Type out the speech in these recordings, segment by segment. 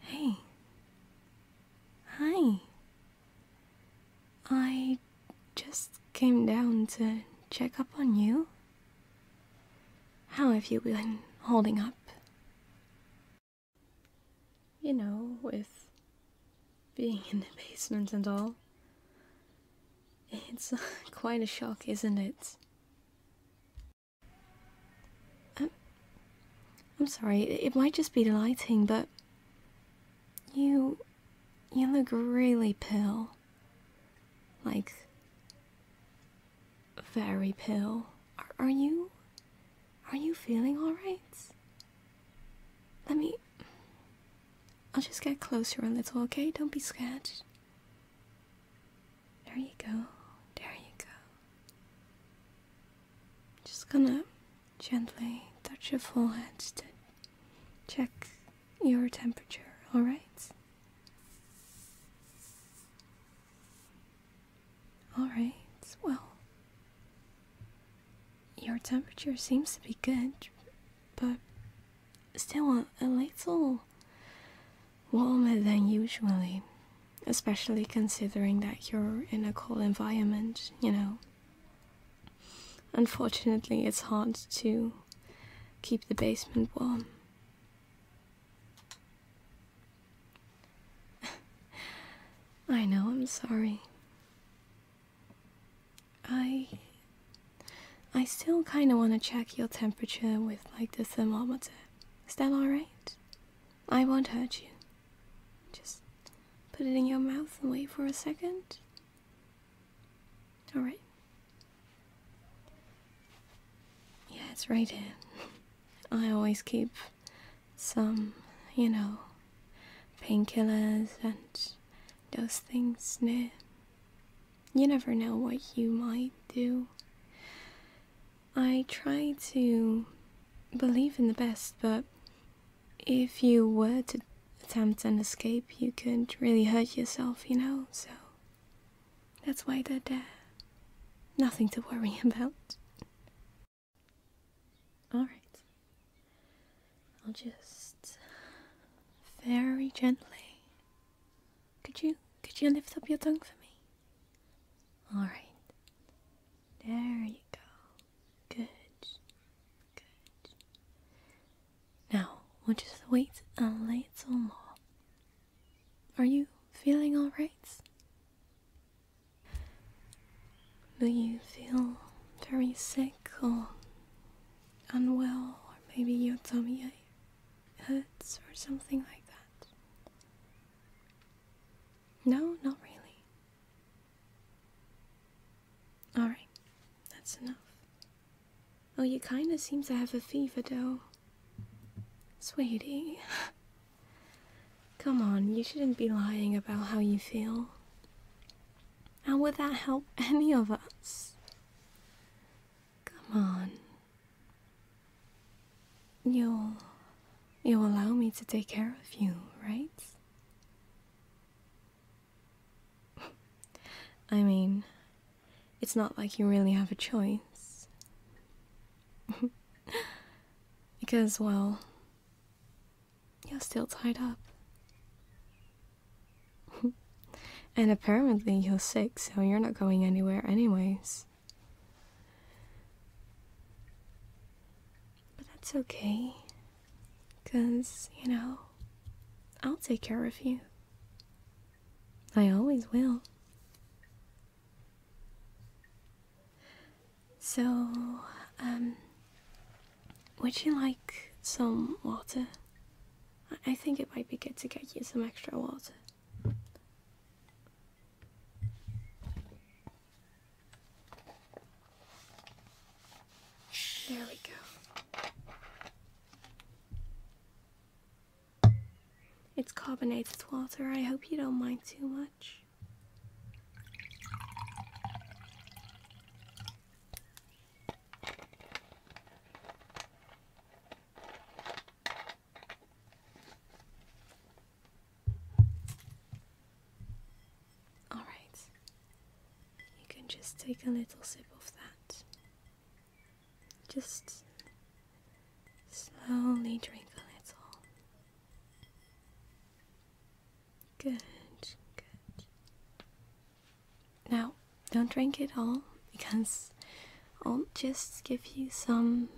Hey. Hi. I just came down to check up on you. How have you been holding up? You know, with being in the basement and all. It's quite a shock, isn't it? Um, I'm sorry, it might just be the lighting, but you you look really pale. Like very pale. Are, are you are you feeling all right? Let me I'll just get closer a little, okay? Don't be scared. There you go. There you go. Just gonna gently touch your forehead to check your temperature, alright? Alright, well, your temperature seems to be good, but still a, little warmer than usually, especially considering that you're in a cold environment, you know. Unfortunately, it's hard to keep the basement warm. I know, I'm sorry. I I still kind of want to check your temperature with like the thermometer. Is that alright? I won't hurt you. Just put it in your mouth and wait for a second. Alright. Yeah, it's right here. I always keep some, you know, painkillers and those things near you never know what you might do. I try to believe in the best, but if you were to attempt an escape, you could really hurt yourself, you know, so that's why they're there. Nothing to worry about. Alright. I'll just very gently could you could you lift up your tongue for me? All right. There you go. Good. Good. Now we'll just wait a little more. Are you feeling all right? Do you feel very sick or unwell, or maybe your tummy ache? hoods or something like that? No, not really. Alright, that's enough. Oh, you kinda seem to have a fever, though. Sweetie. Come on, you shouldn't be lying about how you feel. How would that help any of us? Come on. You'll. You'll allow me to take care of you, right? I mean, it's not like you really have a choice. because, well, you're still tied up. and apparently you're sick, so you're not going anywhere, anyways. But that's okay. Because, you know, I'll take care of you. I always will. So, um, would you like some water? I think it might be good to get you some extra water. There we go. It's carbonated water. I hope you don't mind too much. All right, you can just take a little sip of that. Just slowly drink a little. Good, good. Now, don't drink it all because I'll just give you some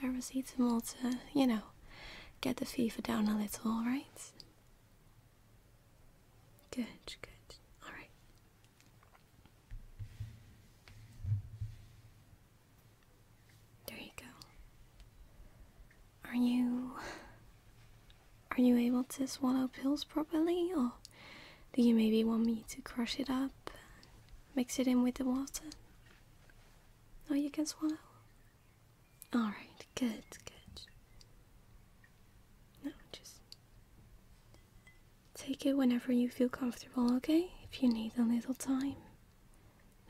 paracetamol to, you know, get the fever down a little, alright? Good, good, alright. There you go. Are you are you able to swallow pills properly, or do you maybe want me to crush it up mix it in with the water? No, oh, you can swallow. Alright, good, good. No, just take it whenever you feel comfortable, okay? If you need a little time,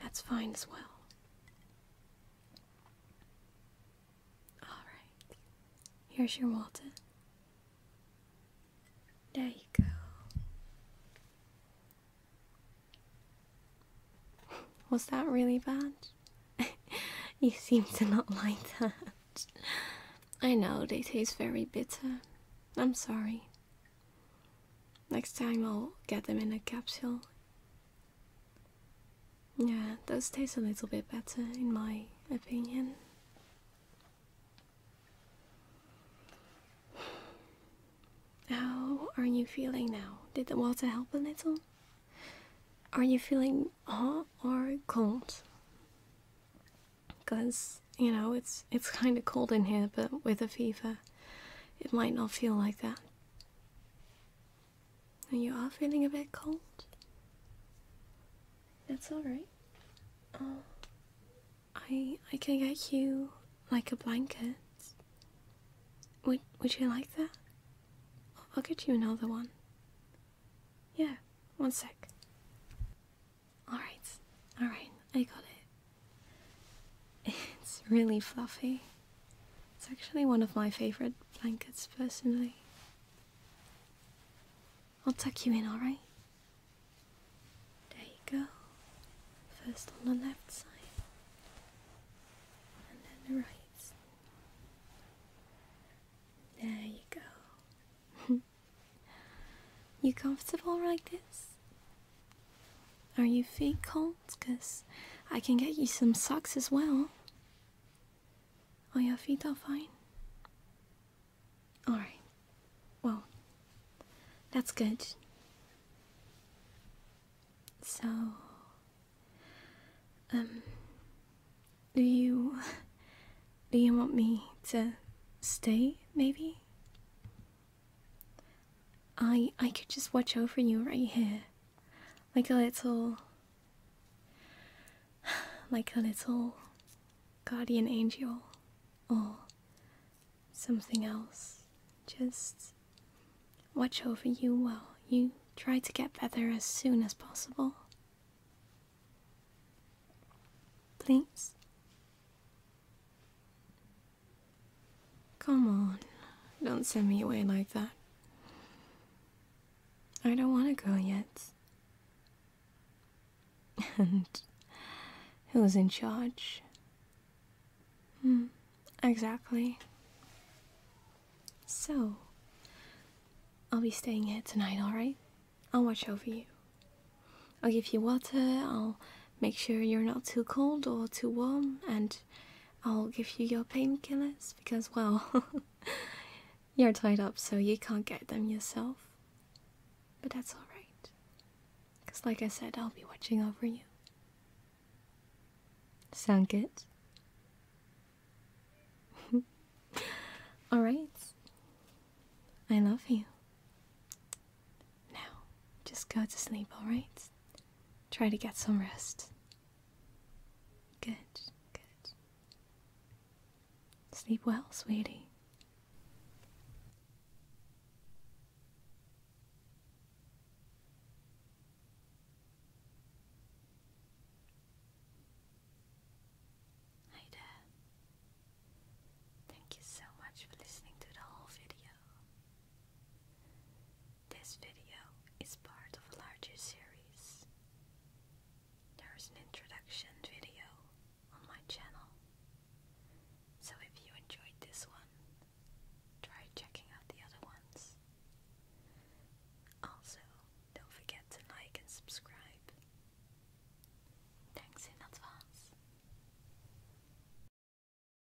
that's fine as well. All right. Here's your Walton. There you go. Was that really bad? you seem to not like that. I know, they taste very bitter. I'm sorry. Next time I'll get them in a capsule. Yeah, those taste a little bit better, in my opinion. How are you feeling now? Did the water help a little? Are you feeling hot or cold? Because, you know, it's, it's kind of cold in here, but with a fever, it might not feel like that. And you are feeling a bit cold? That's alright. Oh, I I can get you like a blanket. Would would you like that? I'll get you another one. Yeah, one sec. Alright, alright, I got it. It's really fluffy. It's actually one of my favourite blankets personally. I'll tuck you in, alright? There you go. First on the left side, and then the right. There you go. you comfortable like this? Are you feet cold? Because I can get you some socks as well. Oh, your feet are fine? Alright. Well, that's good. So, um, do you. Do you want me to stay, maybe? I I could just watch over you right here like a little like a little guardian angel or something else just watch over you while you try to get better as soon as possible please Come on, don't send me away like that. I don't want to go yet. And who's in charge? Hmm, exactly. So, I'll be staying here tonight, alright? I'll watch over you. I'll give you water, I'll make sure you're not too cold or too warm, and I'll give you your painkillers because, well, you're tied up so you can't get them yourself. But that's alright. Because, like I said, I'll be watching over you. Sound it. alright. I love you. Now, just go to sleep, alright? try to get some rest. Good, good. Sleep well, sweetie. Hi there. Thank you so much for listening to the whole video. This video is part of a larger series. There is an introduction video on my channel, so if you enjoyed this one, try checking out the other ones. Also, don't forget to like and subscribe. Thanks in advance.